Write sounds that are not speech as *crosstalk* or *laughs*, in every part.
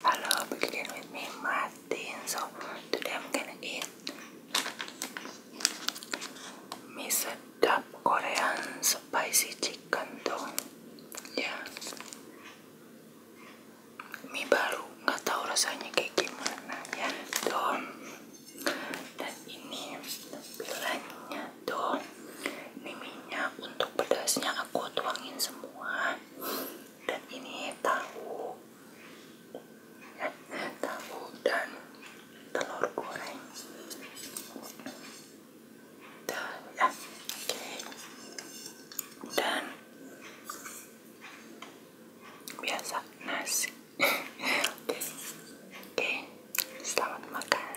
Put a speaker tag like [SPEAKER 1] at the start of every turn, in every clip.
[SPEAKER 1] Hello, back again with me, Martin. So today I'm gonna eat mie sedap Korean spicy chicken dong. Ya, yeah. mie baru nggak tahu rasanya kayak gimana ya dong. Dan ini tampilannya dong. mie minyak untuk pedasnya aku tuangin semua dan ini tahu *laughs* tahu dan telur goreng dan, ya, okay. biasa nasi *laughs* oke selamat makan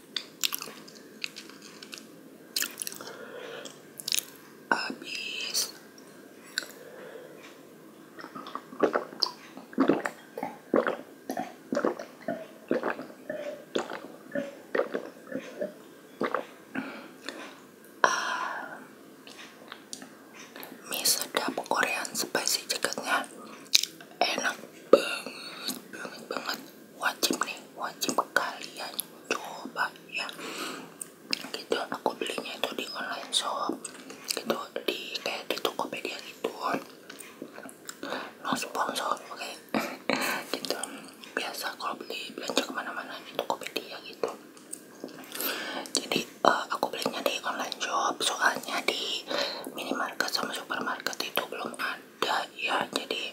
[SPEAKER 1] habis uh, mie sedap Korean spasi chicken enak banget banget banget wajib nih wajib kalian coba ya gitu aku belinya itu di online shop gitu di kayak di Tokopedia gitu no sponsor oke okay? *laughs* gitu biasa kalau beli belanja kemana-mana di Tokopedia gitu jadi eh, aku belinya di online shop soalnya di minimarket sama supermarket itu belum ada ada ya jadi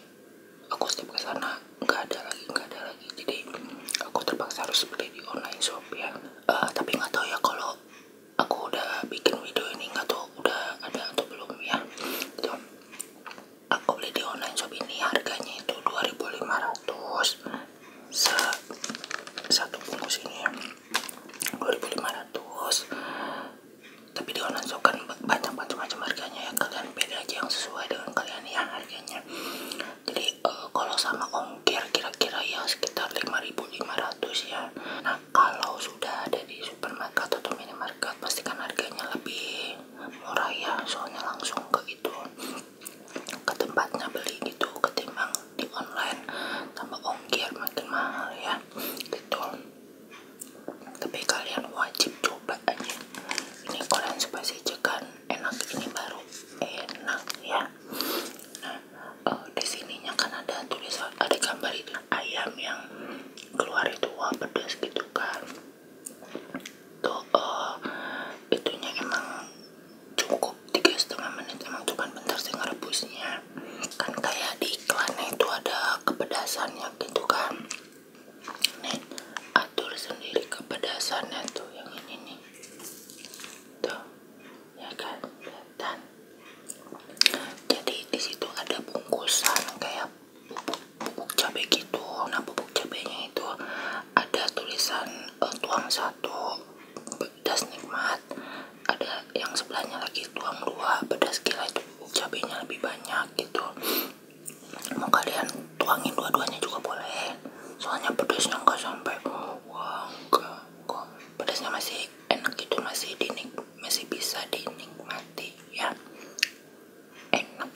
[SPEAKER 1] aku setiap sana nggak ada lagi nggak ada lagi jadi aku terpaksa harus beli di online shop ya uh, tapi nggak tahu ya kalau aku udah bikin video ini nggak tahu udah ada atau belum ya gitu. aku beli di online shop ini harganya itu 2500 se satu bungkus ini 2500 tapi di online shop kan banyak macam-macam harganya ya kalian pilih aja yang sesuai dengan kalian ya harganya jadi uh, kalau sama ongkir kira-kira ya sekitar 5.500 ya nah kalau sudah ada di supermarket atau minimarket pastikan harganya lebih murah ya soalnya langsung ke itu ke tempatnya beli gitu ketimbang di online tambah ongkir makin mahal ya gitu tapi kalian wajib coba aja ini kalian spasi cekan enak ini baru enak ya nah eh, di sininya kan ada tulisan ada gambar itu ayam yang keluar itu wah pedas gitu kan tuh uh, itunya emang cukup tiga setengah menit emang cuma bentar sih nge-rebusnya kan kayak di iklannya itu ada kepedasannya gitu kan nih atur sendiri kepedasannya tuh yang ini nih tuh ya kan dan jadi di situ ada bungkusan kayak pupuk bubuk cabai gitu nah pupuk cabainya itu ada tulisan eh, tuang satu pedas nikmat ada yang sebelahnya lagi tuang dua pedas gila itu cabenya lebih banyak gitu mau kalian tuangin dua-duanya juga boleh soalnya pedasnya nggak sampai wah enggak pedasnya masih enak gitu masih dinik masih bisa dinikmati ya enak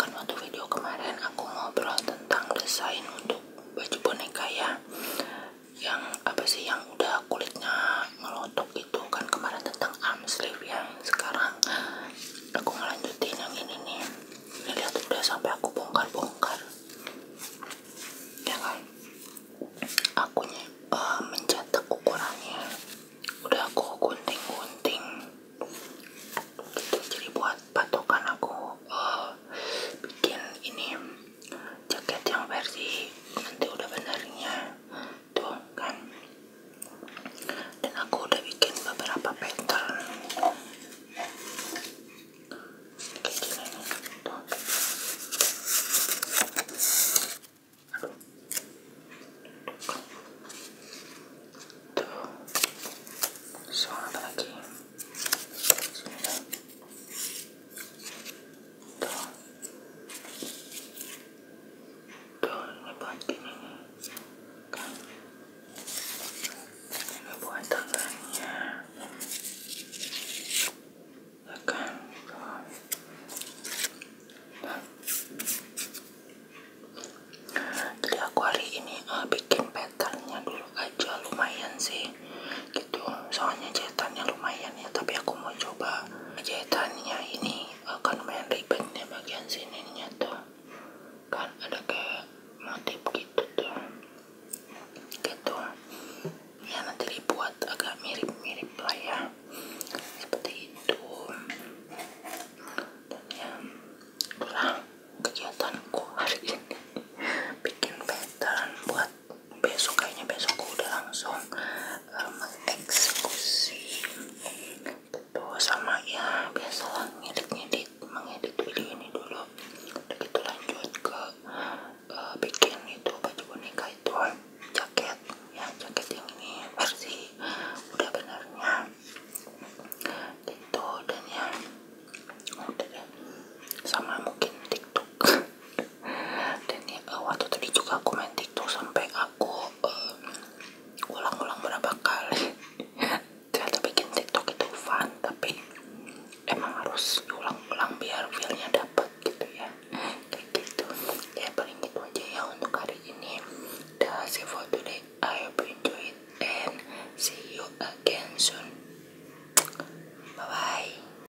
[SPEAKER 1] kan waktu video kemarin aku ngobrol tentang desain untuk baju boneka ya yang apa sih yang udah kulitnya ngelotok itu kan kemarin tentang arm sleeve ya sekarang aku ngelanjutin yang ini nih ini lihat udah sampai aku bongkar-bongkar ya kan aku uh, eh, mencetak ukurannya udah aku gunting-gunting gitu, jadi buat patokan aku eh, bikin ini jaket yang versi nanti udah benarnya tuh kan dan aku udah bikin beberapa pattern kayak gini tuh tuh soal apa lagi tuh tuh ini ini kan ini tangannya ya kan tuh eh, nah. jadi ini bikin patternnya dulu aja lumayan sih gitu soalnya jahitannya lumayan ya tapi aku mau coba jahitannya ini akan eh, main ribet nih bagian sininya tuh kan ada kayak motif gitu tuh gitu ya nanti dibuat agak mirip-mirip lah ya seperti itu dan ya itulah kegiatanku hari ini bikin pattern buat besok kayaknya besok udah langsung uh, mengeksekusi gitu sama ya biasalah ngedit-ngedit mengedit video ini dulu udah gitu lanjut ke uh, bikin itu baju boneka itu jaket ya jaket yang ini versi udah benarnya itu dan ya udah deh sama mungkin tiktok *laughs* dan ya eh, waktu tadi juga aku main tiktok sampai aku eh, ulang-ulang um, berapa kali *laughs* ternyata bikin tiktok itu fun tapi emang harus ulang-ulang biar feelnya dapet gitu ya kayak gitu ya paling itu aja ya untuk hari ini that's it for today I hope you enjoy it and see you again soon bye bye